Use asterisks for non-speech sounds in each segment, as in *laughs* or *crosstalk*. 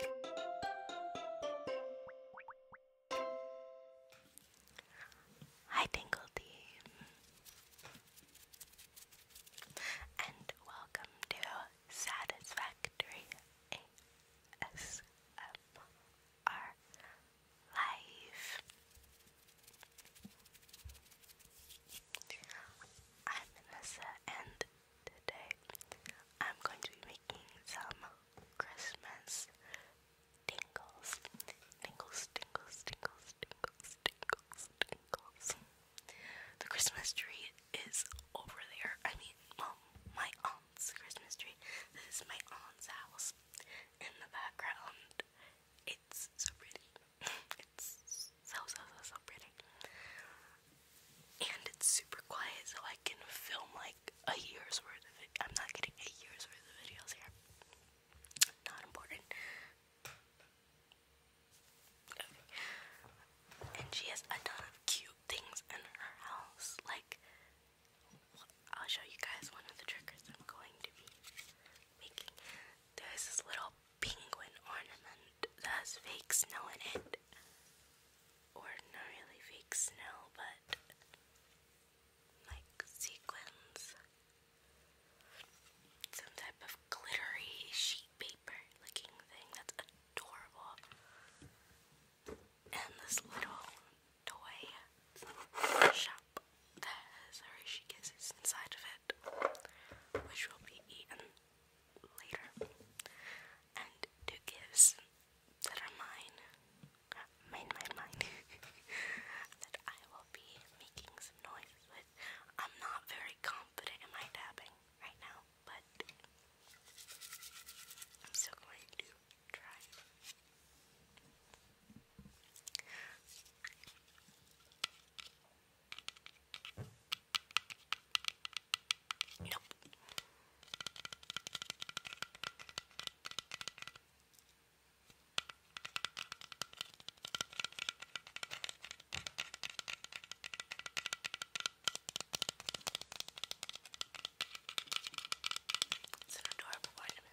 Hi, Tingle and welcome to Satisfactory ASMR Live. I'm Vanessa, and Today I'm going to be making some Christmas tingles. Tingles, tingles, tingles, tingles, tingles, tingles. The Christmas tree is over there. I mean, my aunt's Christmas tree. This is my aunt's house. In the background, it's so pretty. *laughs* It's so, so, so, so pretty and it's super quiet so I can film like a year's worth of I'm not getting a year's worth of videos here. Not important. And she has a ton of cute things in her house. Like, I'll show you guys one of the triggers I'm going to be making. There's this little penguin ornament that has fake snow in it. Or not really fake snow, but like sequins. Some type of glittery sheet paper looking thing that's adorable. And this little toy shop that has Hershey Kisses inside of it, which will be eaten later. And two gifts that are mine, mine, mine, mine, *laughs* that I will be making some noises with. I'm not very confident in my tapping right now, but I'm still going to try. Nope. It's an adorable vitamin.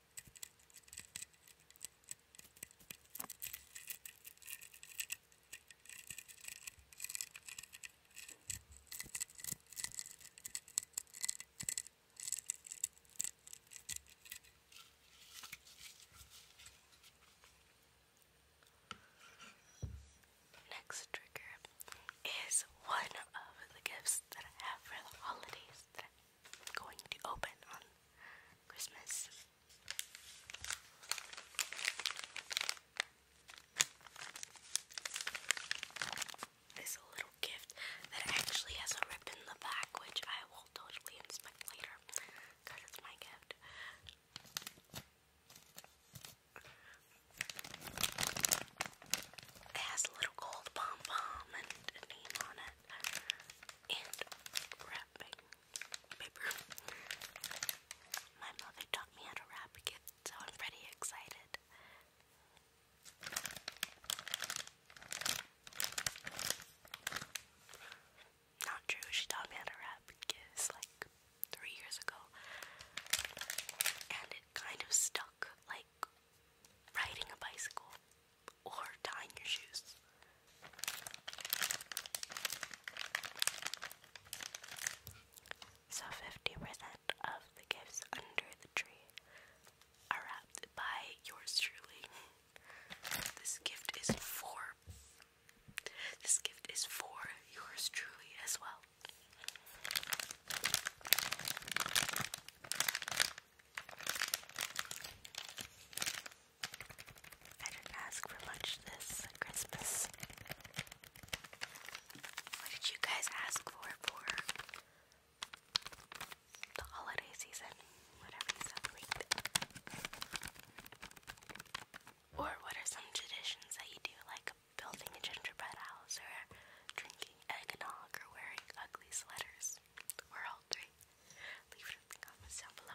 Next trigger is one of the gifts that I have for the holidays going to open on Christmas. It's little gift that actually has a rip in the back, which I will totally inspect later because it's my gift. It has little gold pom pom and a name on it and wrapping paper. My mother taught me how to wrap gifts, so I'm pretty excited. Not true, she taught me how to wrap gifts like three years ago. And it kind of stuck, like riding a bicycle or tying your shoes. So 50% of the gifts under the tree are wrapped by yours truly. This gift is for this gift is for yours truly as well. I didn't ask for much this Christmas. What did you guys ask for for the holiday season? Whatever you celebrate. Or what are some traditions that you do, like building a gingerbread house or drinking drinking eggnog or wearing ugly sweaters. Or all three. Leave it down below.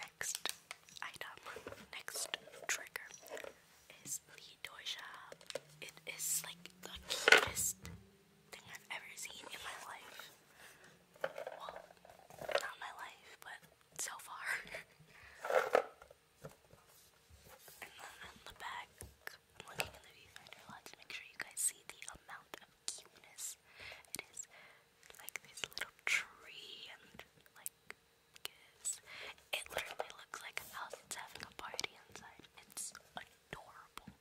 Next item, next trigger is the toy It is like the cutest thing I've ever seen in my life. Well, not my life, but so far. *laughs* and then on the back, I'm looking in the viewfinder a lot make sure you guys see the amount of cuteness. It is like this little tree and like It literally looks like a house that's having a party inside. It's adorable.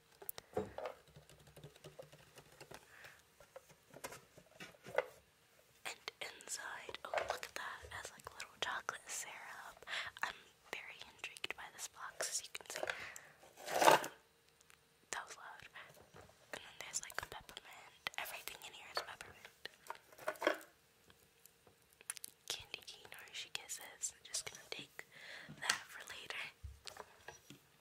And inside, oh look at that, has like little chocolate syrup. I'm very intrigued by this box as you can see. That was loud. And then there's like peppermint. Everything in here is peppermint. Candy cane or she kisses. just gonna take that for later.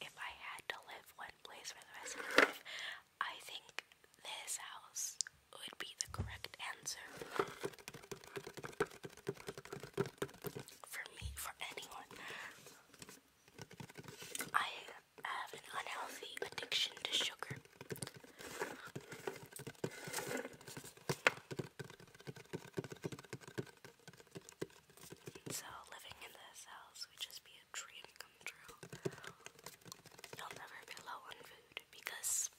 If I had to live one place for the rest of my life, I think this house would be the correct answer for me, for anyone. I have an unhealthy addiction to sugar. So living in this house would just be a dream come true. I'll never be low on food because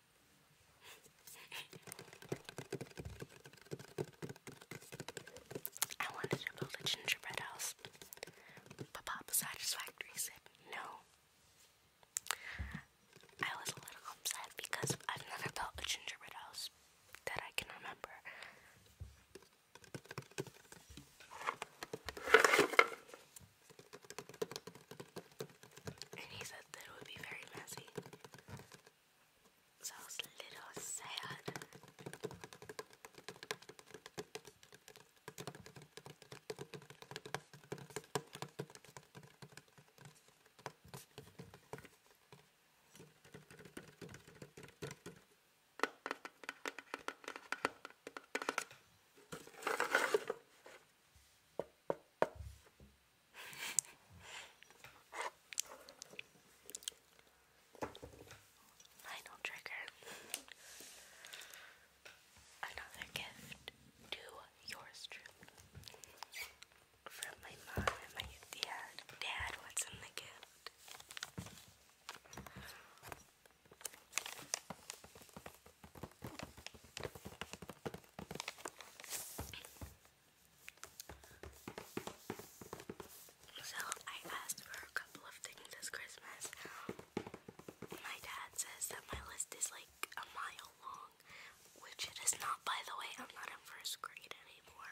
I wanted to build a gingerbread house, but Papa Satisfactory said no. I was a little upset because I've never built a gingerbread house that I can remember and he said that it would be very messy. So I was a little sad. Final trigger. Another gift to yours truly. From my mom and my dad. Dad, what's in the gift? So I asked for a couple of things this Christmas. My dad says that my list is like a mile long, which it is not, by the way. I'm not in first grade anymore.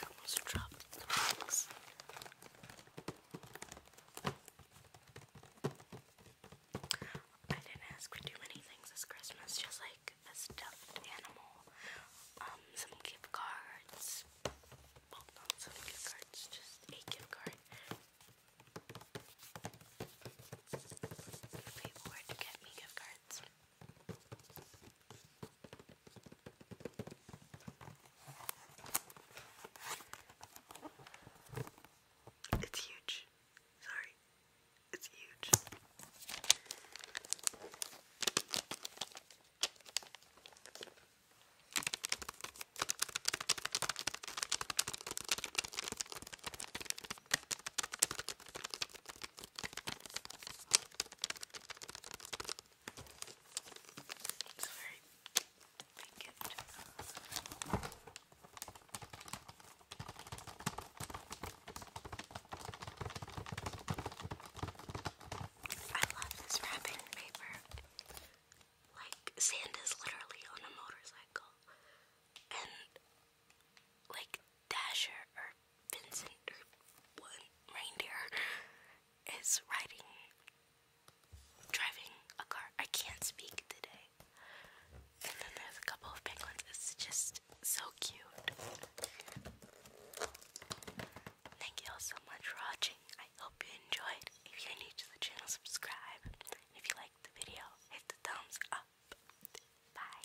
I almost dropped the box. I didn't ask for too many things this Christmas, just like a stuffed animal, um, some gift cards. some gift cards, just a gift card. People were to get me gift cards. It's huge. Sorry. It's huge. I love this wrapping paper. Like, Santa's literally on a motorcycle. And, like, Dasher or Vincent or one reindeer is riding, driving a car. I can't speak today. And then there's a couple of penguins. It's just so cute. Thank you all so much for watching. I hope you enjoyed. If you're new to the channel, subscribe. If you liked the video, hit the thumbs up. Bye.